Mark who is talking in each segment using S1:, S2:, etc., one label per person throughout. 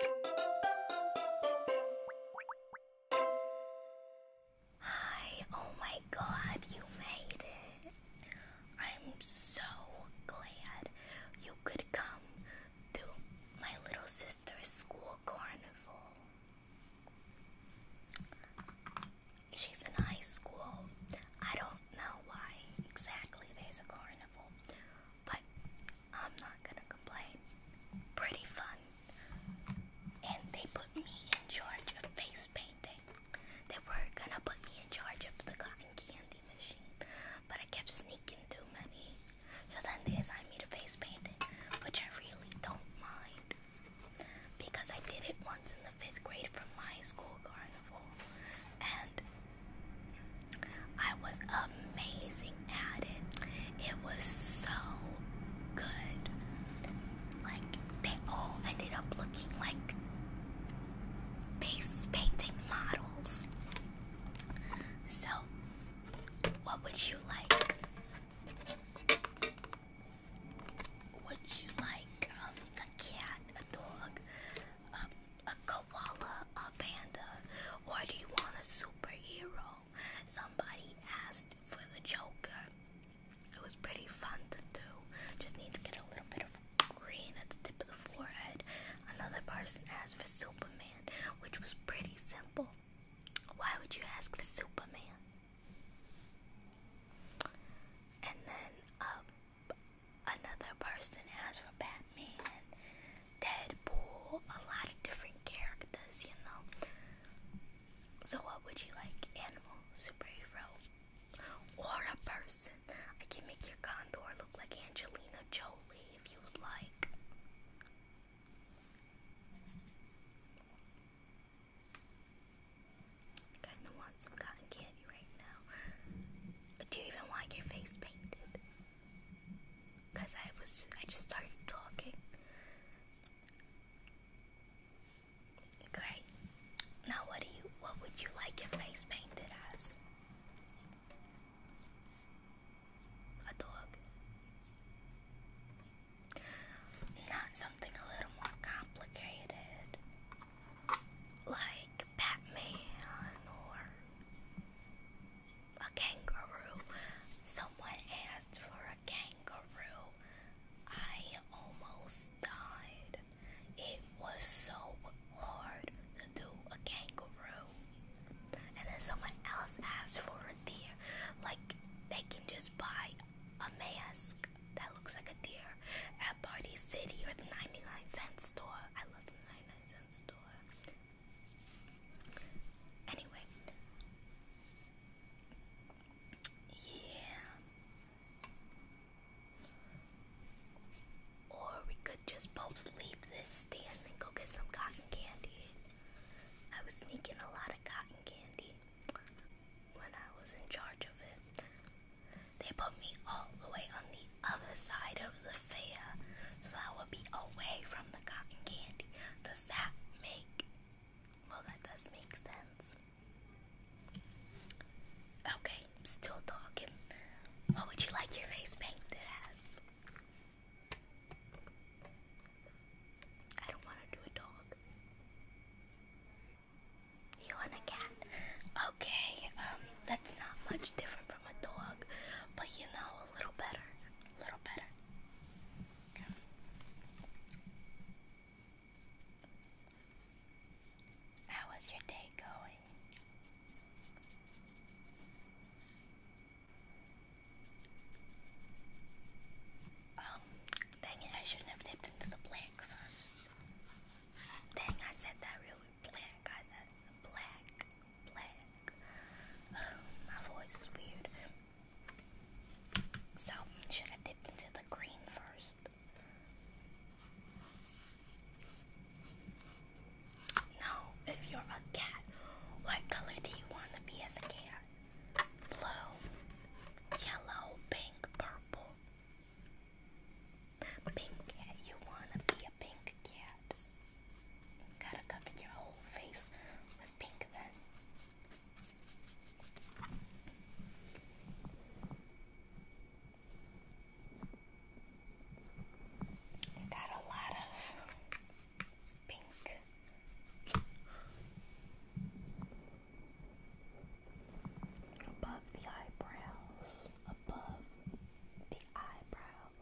S1: Hi, oh my god, you made it. I'm so glad you could come to my little sister's school carnival. She's in high school. I don't know why exactly there's a carnival, but I'm not gonna complain. Pretty fun. And they put me in charge of face painting. They were gonna put me in charge of the cotton candy machine, but I kept sneaking too many. So then they assigned me to face painting, which I really don't mind. Because I did it once in the fifth grade from my school carnival, and I was amazing at it. It was so good. Like, they all ended up looking like face painting models. So, what would you like? Would you like um, a cat, a dog, um, a koala, a panda, or do you want a superhero? Somebody asked for the Joker. It was pretty fun to do. Just need to get a little bit of green at the tip of the forehead. Another person asked for Superman, which was pretty simple. Why would you ask for Superman? And then uh, another person asked for Batman. Deadpool, a lot of different characters, you know. So, what would you like? Animal, superhero, or a person? I can make your condor look like Angelina Jolie if you would like. You guys want some cotton candy right now. Do you even want your face painted? Cause I was I just started talking. Great. Now what do you what would you like your face painted as? A dog. Not something a little more complicated. Like Batman or a kangaroo. Someone asked for a kangaroo. I almost died. It was so hard to do a kangaroo. And then someone else asked for a deer. Like, they can just buy a mask that looks like a deer at Party City or the 99 cent store. I love the 99 cent store. Anyway, yeah. Or we could just both leave this stand and go get some cotton candy. I was sneaking a lot of cotton candy when I was in charge of it. They put me all the way on the other side of the fair, so that would be away from the cotton candy. Does that make well that does make sense? Okay, still talking. What would you like your face painted as? I don't want to do a dog. You want a cat? Okay, um, that's not much different a dog, but you know, a little better. A little better. Okay. How is your day going? Oh, dang it, I shouldn't have dipped into the black first. Dang, I said that real black, got black, black. Oh, my voice is weird. So, should I dip into the green first? No, if you're a cat, what color do you want to be as a cat? Blue, yellow, pink, purple. Pink you want to be a pink cat. Gotta cover your whole face with pink then. got a lot of pink. Above the eyebrows, above the eyebrows.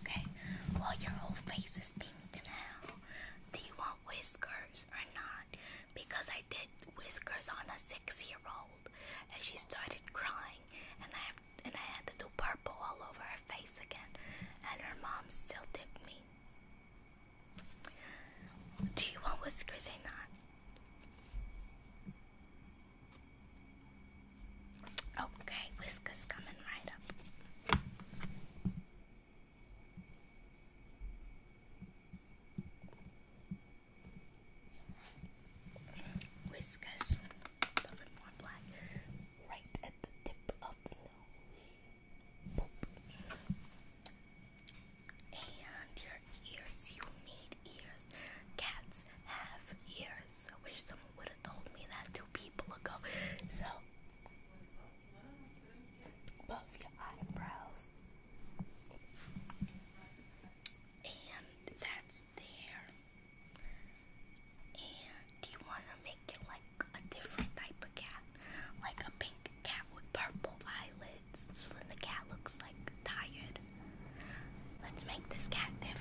S1: Okay, well, your whole face is pink now. Do you want whiskers or not? Because I did whiskers on a six-year-old, and she started crying, and I have, and I had to do purple all over her face again, and her mom still tipped me. Do you want whiskers or not? Okay, whiskers coming right up. Whiskers, a bit more black, right at the tip of the nose and your ears. You need ears. Cats have ears. I wish someone would have told me that two people ago. So, above your eyebrows, and that's there. And do you want to make it like a different type of cat, like a pink cat with purple eyelids? So then the cat looks like tired. Let's make this cat different.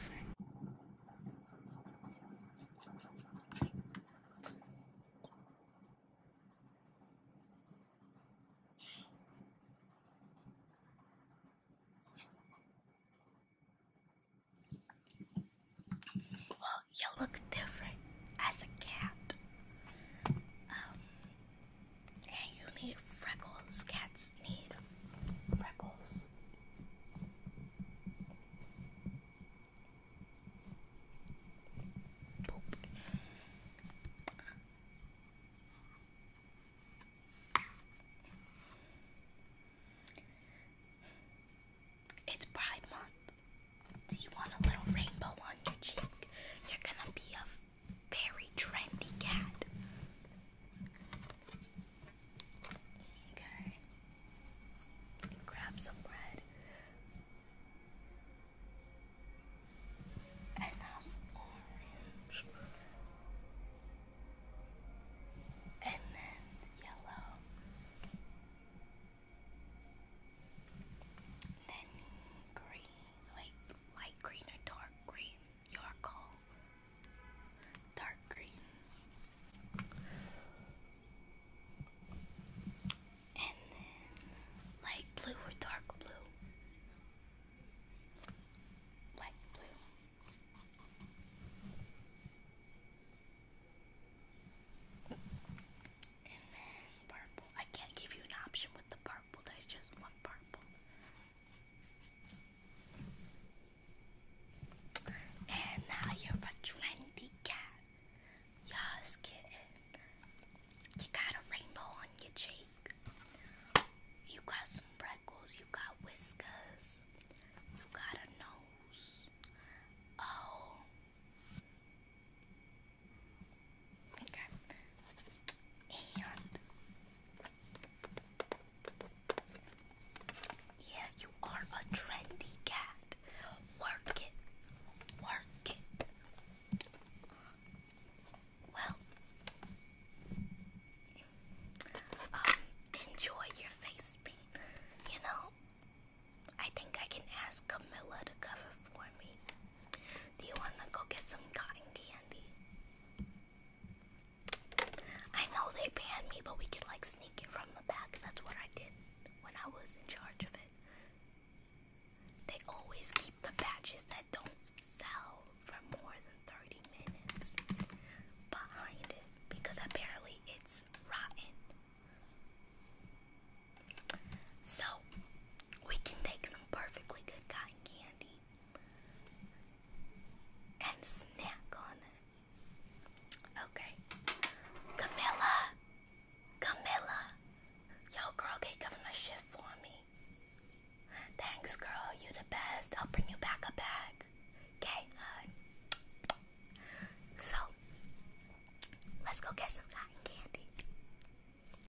S1: Well, you look different as a cat. Um, you need freckles. Cats need freckles. It's Pride Month. Do you want a little rainbow on your cheek? You're gonna be a very trendy cat. Okay. Grab some bread. And have some orange. And then yellow. Then green. Wait, light green or dark green? Your call. Dark green. And then light blue or dark blue? Light blue. And then purple. I can't give you an option with the purple purple. There's just one purple. And now you have a trendy cat. Yes, kitten. You got a rainbow on your cheek. You got some freckles. You got whiskers. You got a nose. Oh. Okay. And yeah, you are a trendy cat. Work it. Work it. Well, um, enjoy your face paint. You know, I think I can ask Camilla to cover for me. Do you wanna go get some cotton candy? I know they banned me, but we can like sneak it from the back. That's what I did when I was in charge of it. They always keep the badges that don't sell for more than 30 minutes behind it because apparently it's rotten. So, we can take some perfectly good cotton candy and snack on it. Okay. Camilla! Camilla! Yo, girl, can cover my shift for me? Thanks, girl. You the best. I'll bring you back a bag. Okay, So, let's go get some cotton candy.